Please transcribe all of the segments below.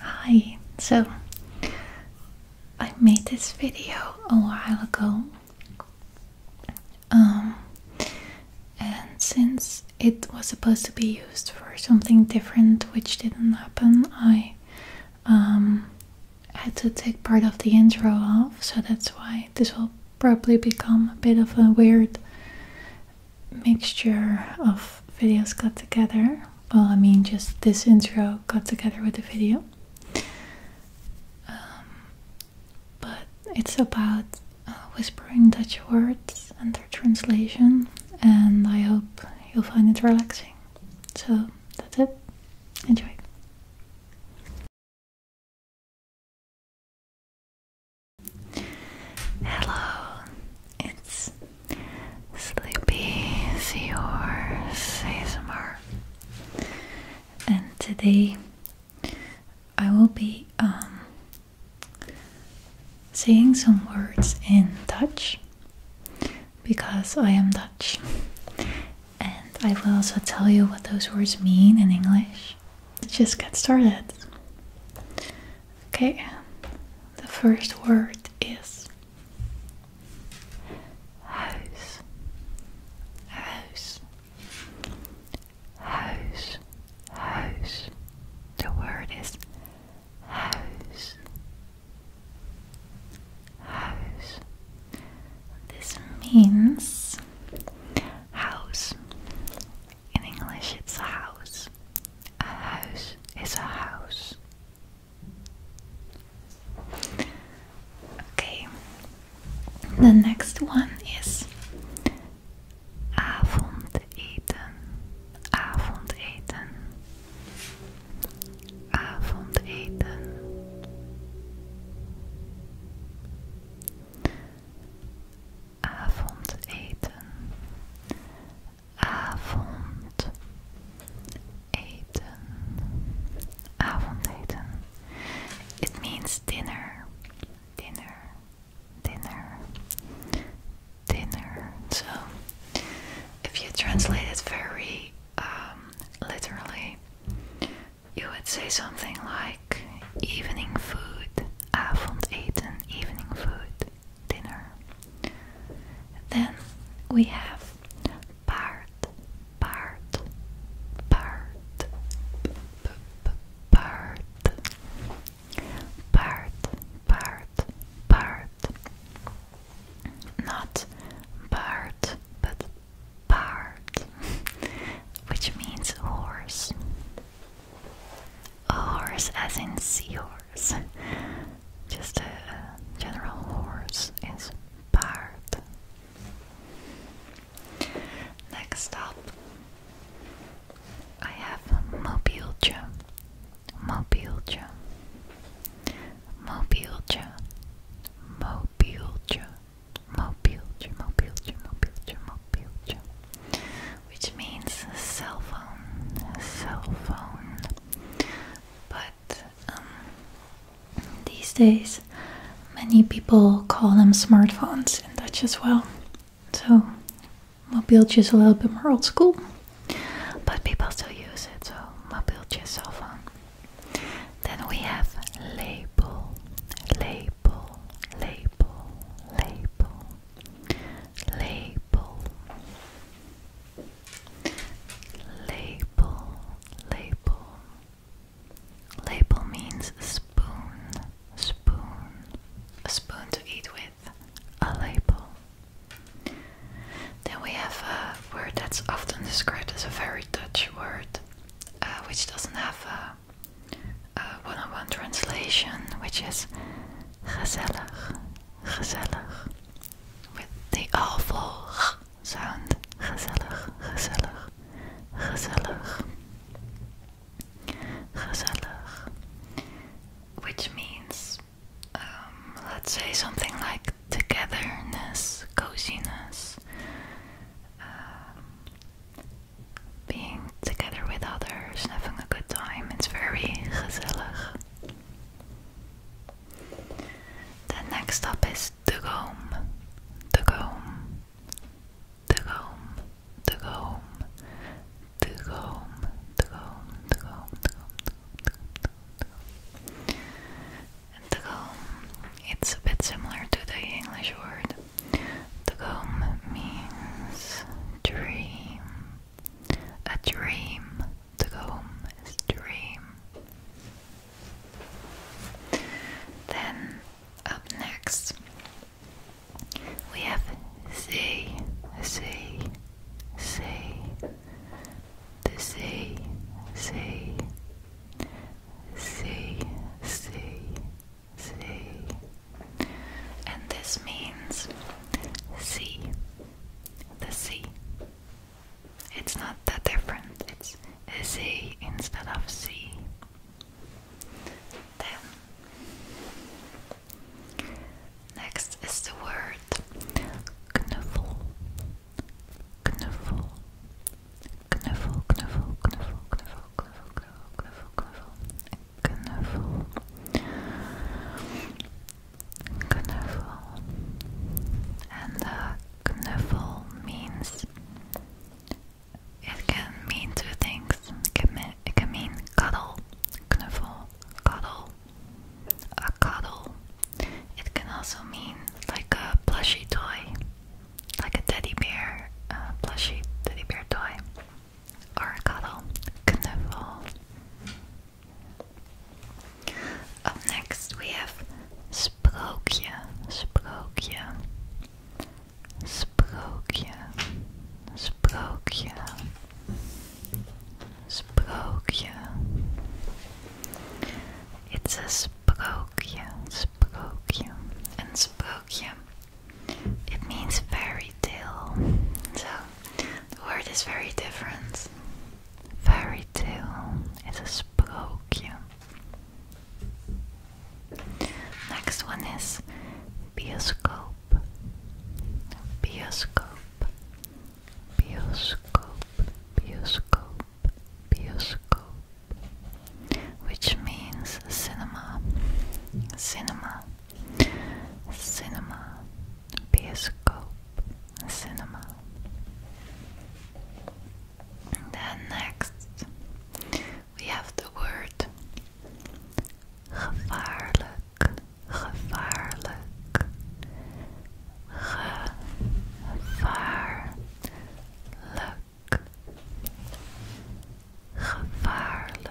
Hi, so I made this video a while ago, um, and since it was supposed to be used for something different, which didn't happen, I um, had to take part of the intro off, so that's why this will probably become a bit of a weird mixture of videos got together. Well, I mean, just this intro got together with the video. Um, but it's about uh, whispering Dutch words and their translation, and I hope you'll find it relaxing. So that's it. Enjoy. Hello, it's Sleepy Seor ASMR, and today I will be um, saying some words in Dutch because I am Dutch, and I will also tell you what those words mean in English. Let's just get started. Okay, the first word is house, house, house, house. The word is huis, huis. This means house, in English, it's a house. A house is a house. Okay, the next one is avondeten. Avondeten. Avondeten. Avondeten avondeten it means dinner dinner dinner dinner so if you translate it very um, literally you would say something like evening food avondeten evening food dinner. Then we have paard, paard, paard, paard, paard, paard, paard. Not paard, but paard, which means horse. Horse as in sea horse. Just a, general horse in part. Next up, I have mobilja. Mobilja. Mobilja. Mobilja. Mobilja. Mobilja. Mobilja. Mobilja which means cell phone, cell phone. But um, these days, many people call them smartphones in Dutch as well. So, mobieltje just a little bit more old school, but people still use it. So, mobieltje, cell phone. Then we have label, label, label, label label label label label means spoon spoon a spoon to eat with a label then we have a word that's often described as a very Dutch word uh, which doesn't have a one -on -one translation, which is gezellig, gezellig. With the awful sound. Gezellig, gezellig, gezellig. Gezellig. Which means, um, let's say something like togetherness, coziness. Um, being together with others and having a good time. It's very gezellig. The next up is Dugome. Dugome. Dugome. Dugome. Dugome. Dugome. Dugome. Dugome. It's a bit similar to the English word. Dugome means dream. A dream. The home is dream. Then up next we have sea, sea, sea, the sea, sea, sea, sea, sea and this means sea. The sea. It's not that different, it's sea instead of C. Then, next is the word knuffle. Knuffle. Knuffle, knuffle, knuffle, knuffle, knuffle, knuffle, knuffle, knuffel, knuffel, and uh, means it can mean two things. It can mean, cuddle, knuffel, cuddle, a cuddle. It can also mean like a plushy toy, like a teddy bear, a plushy teddy bear toy. Oracado, Knuffel. Up next we have Sprookje, Sprookje, Sprookje, Sprookje, Sprookje. It's a sprookje, sprookje. And sprookje it means fairy tale. So the word is very different. Fairy tale is a sprookje. Next one is bioscope. Bioscope. Bioscope. Bioscope. Bioscope. Which means cinema. Cinema cinema, bioscope, cinema. then next we have the word gevaarlijk, gevaarlijk, gevaarlijk. Gevaarlijk,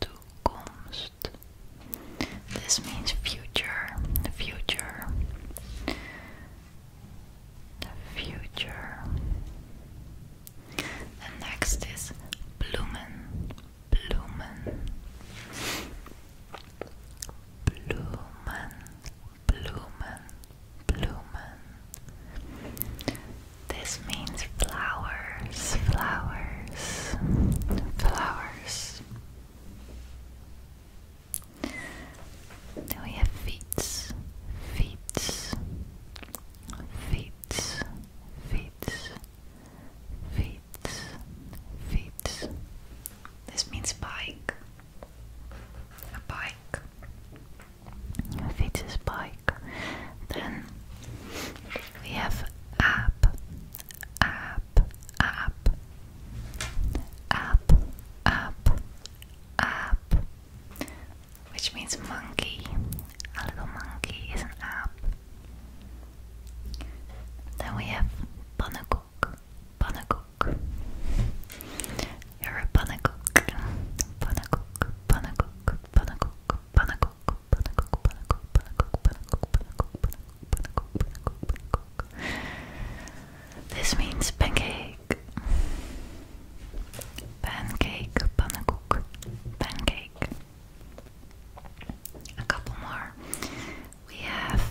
toekomst. This means future, the future, the future. The next is bloemen, bloemen, bloemen, bloemen, bloemen. This means flowers, flowers, flowers. Then we have feet, feet, feet, feet, feet, feet. This means bike, a bike fiets bike. Then we have app, app, app, app, app, app, which means monkey. A little monkey is an ape. Then we have pannenkoek, pannenkoek. You're a pannenkoek, pannenkoek, pannenkoek panacook, panacook, panacook, panacook, panacook, panacook, panacook, panacook, panacook, panacook. This means pancake. Pancake, panacook, pancake. A couple more. We have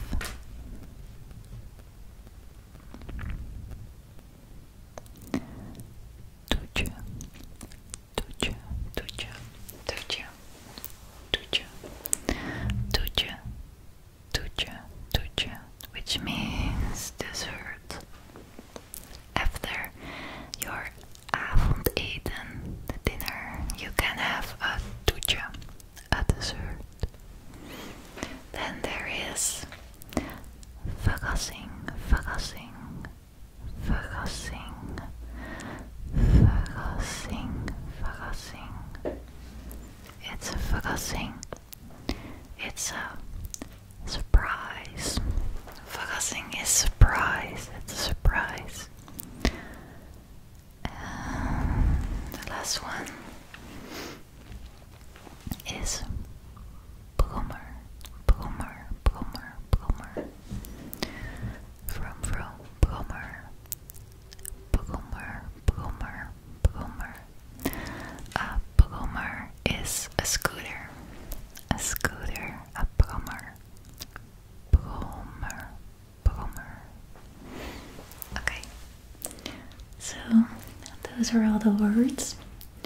Tucha, tucha, tucha, tucha, tucha, tucha, tucha, tucha, which means dessert. After your avondeten, the dinner, you can have a tucha, a dessert. Then there is verrassing, verrassing, focusing, focusing, focusing. It's a focusing. It's a surprise. Focusing is surprise. It's a surprise. the last one is Bloomer, Bloomer, Bloomer, Bloomer. Vroom, vroom, Bloomer, Bloomer, Bloomer, Bloomer. A Bloomer is a scooter, a scooter, a Bloomer. Bloomer, Bloomer. Okay, so those are all the words.